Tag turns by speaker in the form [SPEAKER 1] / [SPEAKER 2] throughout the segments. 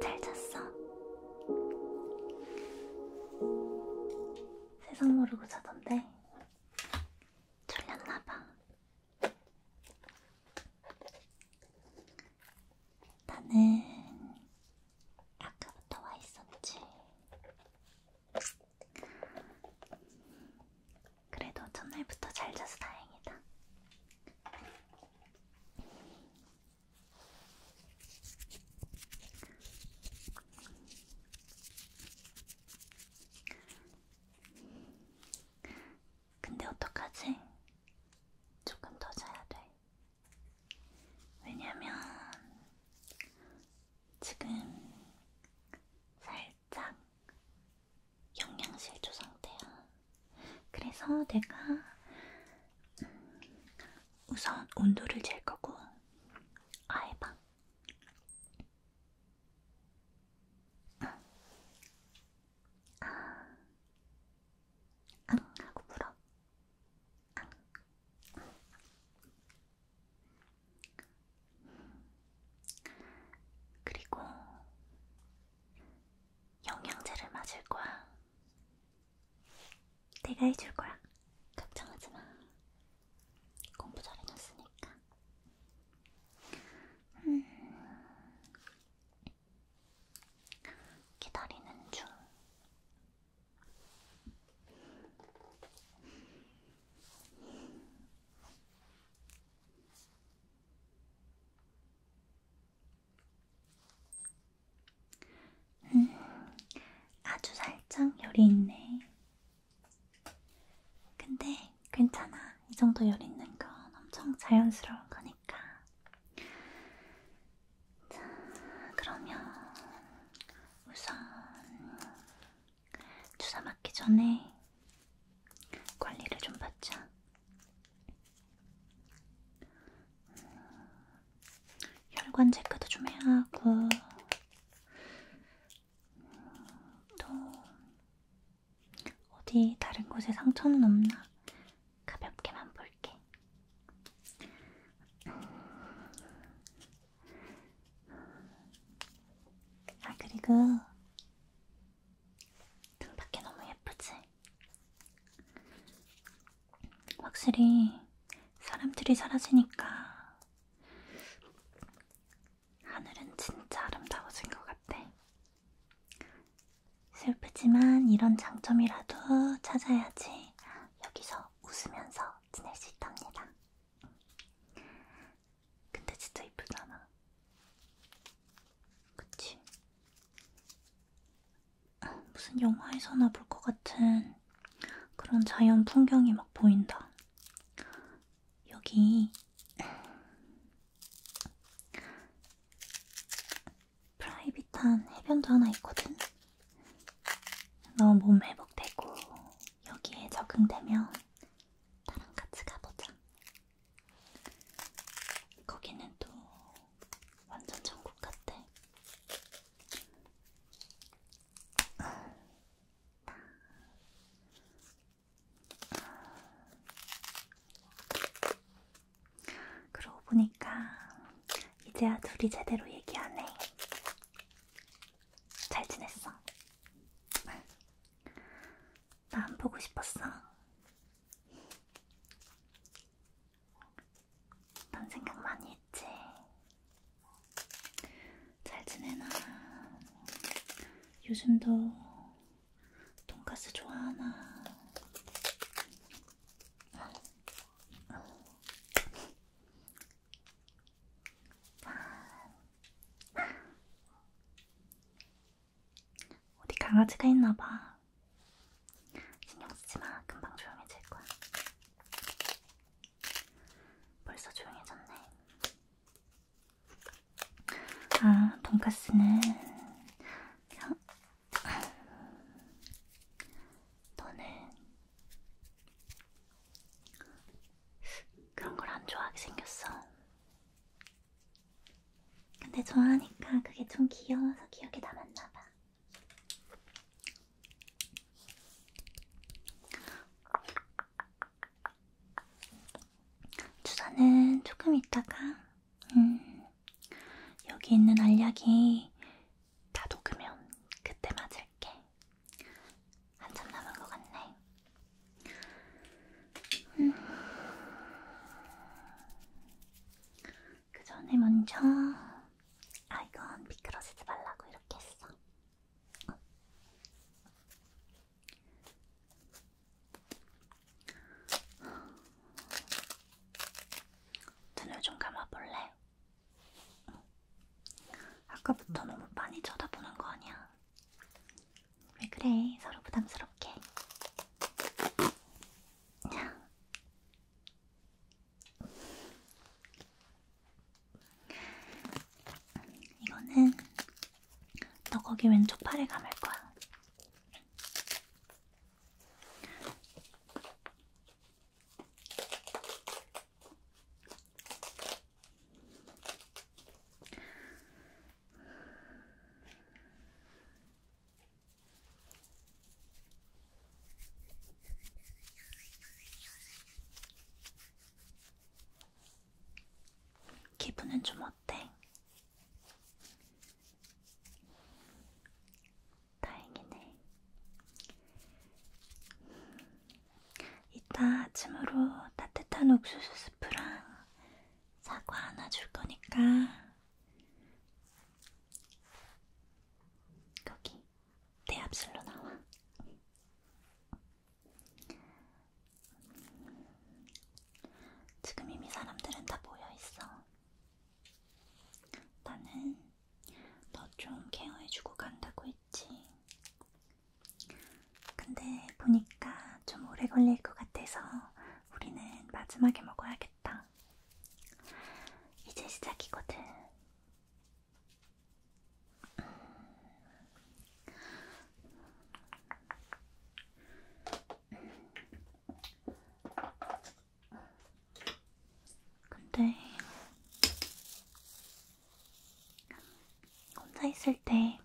[SPEAKER 1] 잘 잤어? 세상 모르고 자던데 졸렸나봐. 나는 아까부터 와 있었지. 그래도 첫날부터 잘 자서 다행이다. 근데 어떡하지? 조금 더 자야 돼. 왜냐면 지금 살짝 영양실조 상태야. 그래서 내가 음, 우선 온도를 잴 거고 아예 방 응. 아, 응 하고 물어. 그리고 영양제를 맞을 거야. 내가 해줄 거야. 걱정하지 마. 공부 잘 해놨으니까. 음. 기다리는 중. 음, 아주 살짝 열이 있네. 근데 괜찮아. 이 정도 열 있는 건 엄청 자연스러운 거니까. 자, 그러면 우선 주사 맞기 전에 관리를 좀 받자. 음, 혈관 체크도 좀 해야 하고 음, 또 어디 다른 곳에 상처는 없나 가볍게만 볼게. 아 그리고 눈 밖에 너무 예쁘지? 확실히 사람들이 사라지니까 하늘은 진짜 아름다워진 것 같아. 슬프지만 이런 장점이라도 찾아야지. 여기서 웃으면서 지낼 수 있답니다. 근데 진짜 이쁘잖아. 그치? 무슨 영화에서나 볼 것 같은 그런 자연 풍경이 막 보인다. 여기 프라이빗한 해변도 하나 있거든? 너몸 회복되고 여기에 적응되면 나랑 같이 가보자. 거기는 또 완전 천국 같대. 그러고 보니까 이제야 둘이 제대로 얘기하네. 잘 지냈어? 나 안 보고 싶었어. 난 생각 많이 했지. 잘 지내나? 요즘도 돈가스 좋아하나? 어디 강아지가 있나봐. 신경 쓰지 마. 금방 조용해질 거야. 벌써 조용해졌네. 아, 돈까스는 그냥 너는 그런 걸 안 좋아하게 생겼어. 근데 좋아하니까 그게 좀 귀여워서 기억에 남았나봐. 주사는 조금 있다가 음, 여기 있는 알약이 다 녹으면 그때 맞을게. 한참 남은 것 같네. 음. 그 전에 먼저 아 이건 미끄러지지 말라고 이렇게 했어. 어. 눈을 좀 감아볼래? 아까부터 너무 많이 쳐다보는 거 아니야? 왜 그래? 서로 부담스럽게. 이거는 너 거기 왼쪽 팔에 감을 거야. 기분은 좀 어때? 다행이네. 이따 아침으로 따뜻한 옥수수 스프랑 사과 하나 줄 거니까 거기 내 앞실로 나와. 지금 이미 사람들은 다 모여 있어. 나는 너좀 케어해주고 간다고 했지. 근데 보니까 좀 오래 걸릴 것 같아서 우리는 마지막에 먹어야겠다. 이제 시작이거든. 근데 혼자 있을 때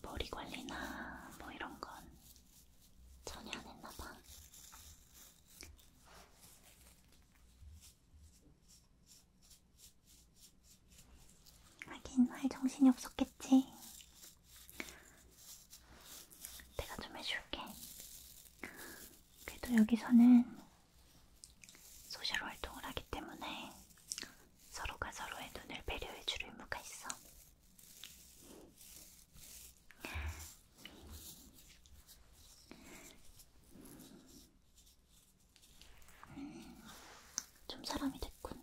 [SPEAKER 1] 머리 관리나 뭐 이런 건 전혀 안 했나 봐. 하긴 할 정신이 없었겠지. 내가 좀 해줄게. 그래도 여기서는 소셜 활동을 하기 때문에 서로가 서로의 눈을 배려해줄 의무가 있어. 음, 좀 사람이 됐군.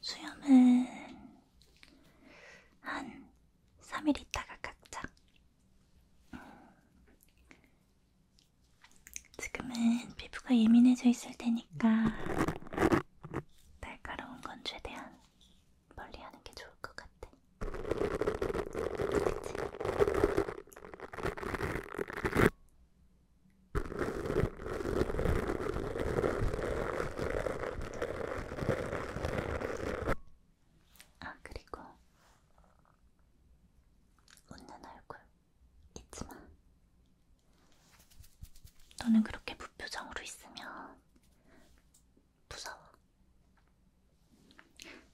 [SPEAKER 1] 수염은 한 3일 있다가 깎자. 지금은 피부가 예민해져 있을 테니까 날카로운 건 최대한 멀리 하는 게 좋을 것 같아. 그치? 아, 그리고 웃는 얼굴 잊지 마. 너는 그렇게 무표정으로 있으면 무서워.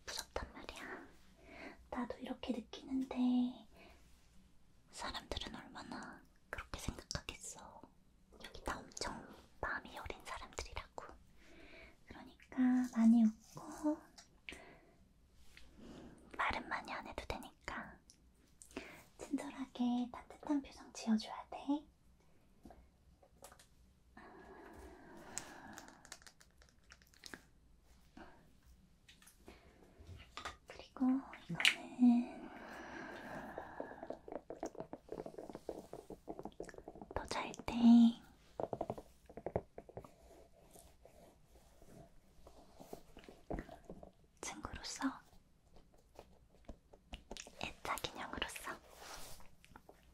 [SPEAKER 1] 무섭단 말이야. 나도 이렇게 느끼는데 사람들은 얼마나 그렇게 생각하겠어. 여기 다 엄청 마음이 여린 사람들이라고. 그러니까 많이 웃고 말은 많이 안 해도 되니까 친절하게 따뜻한 표정 지어줘야 돼. 그리고 이거는 더 잘 때 친구로서 애착 인형으로서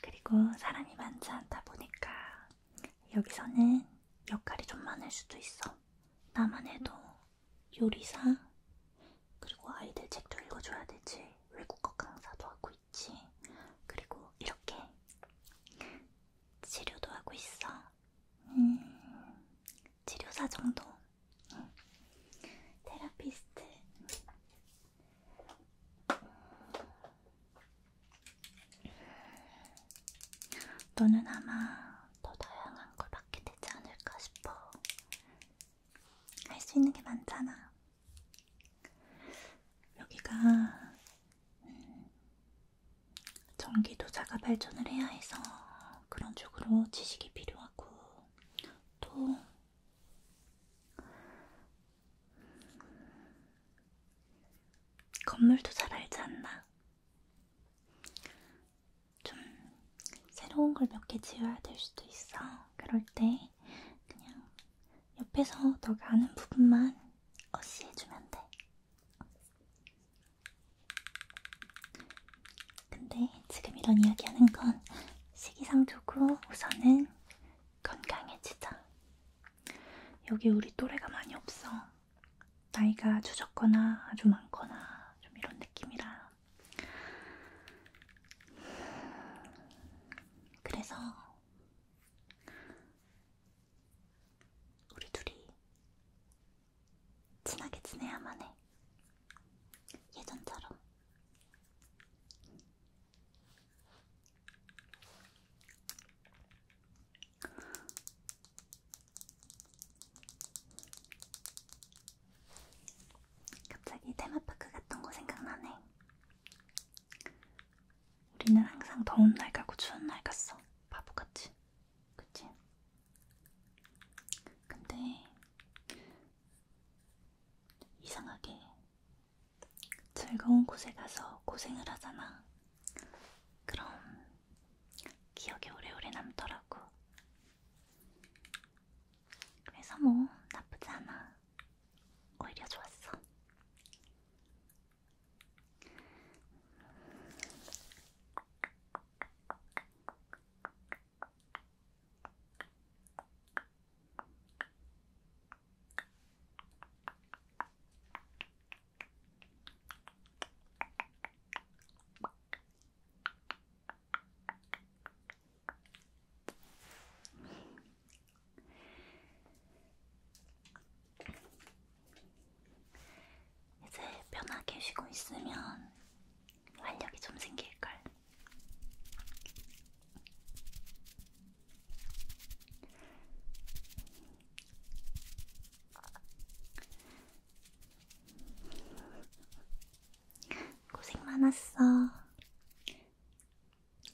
[SPEAKER 1] 그리고 사람이 많지 않다 보니까 여기서는 역할이 좀 많을 수도 있어. 나만 해도 요리사, 그리고 아이들 책도 읽어줘야 되지. 외국어 강사도 하고 있지. 그리고 이렇게 치료도 하고 있어. 음, 치료사 정도 응. 테라피스트. 너는 아마 더 다양한 걸 받게 되지 않을까 싶어. 할 수 있는 게 많잖아. 여기가 음, 전기도 자가 발전을 해야 해서 그런 쪽으로 지식이 필요하고 또 건물도 잘 알지 않나? 좀 새로운 걸 몇 개 지어야 될 수도 있어. 그럴 때 그냥 옆에서 너가 아는 부분만 어시해주면 돼. 근데 지금 이런 이야기 하는 건 시기상조고 우선은 건강해지자. 여기 우리 또래가 많이 없어. 나이가 주적거나 아주 많거나 좀 이런 느낌이라. 그래서 우리 둘이 친하게 지내야만 해. 예전처럼. 갑자기 테마파크 갔던 거 생각나네. 우리는 항상 더운 날 가고 추운 날 갔어. 바보같이. 그치? 근데 이상하게 즐거운 곳에 가서 고생을 하잖아. 그럼 기억에 오래오래 남더라고. 그래서 뭐 나쁘지 않아. 오히려 좋았어. 이제 편하게 쉬고 있으면 활력이 좀 생길걸. 고생 많았어.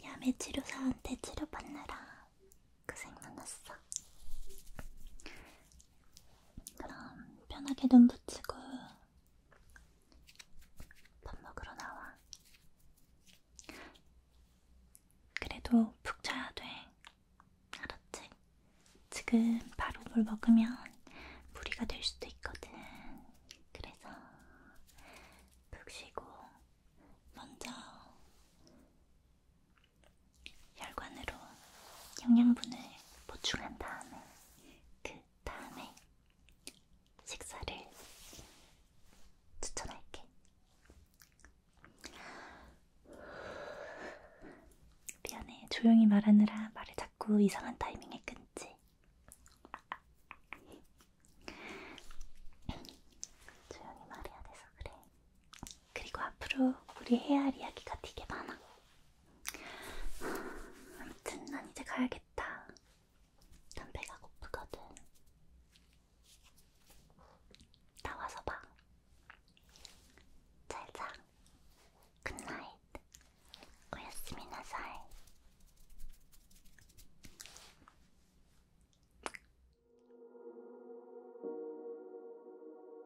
[SPEAKER 1] 야매 치료사한테 치료받느라 고생 많았어. 그럼 편하게 눈 붙이고 밥 먹으러 나와. 그래도 푹 자야 돼. 알았지? 지금 바로 물 먹으면 무리가 될 수도 있거든. 그래서 푹 쉬고 먼저 혈관으로 영양분을 보충한 다음에 그 다음에 식사를 추천할게. 미안해, 조용히 말하느라 말을 자꾸 이상한 타이밍에 끊지. 조용히 말해야 돼서 그래. 그리고 앞으로 우리 헤아리 이야기가 되게 많아. 아무튼 난 이제 가야겠다. 난 배가 고프거든. 나와서 봐. 잘 자. 굿나잇. 오야스미나사이.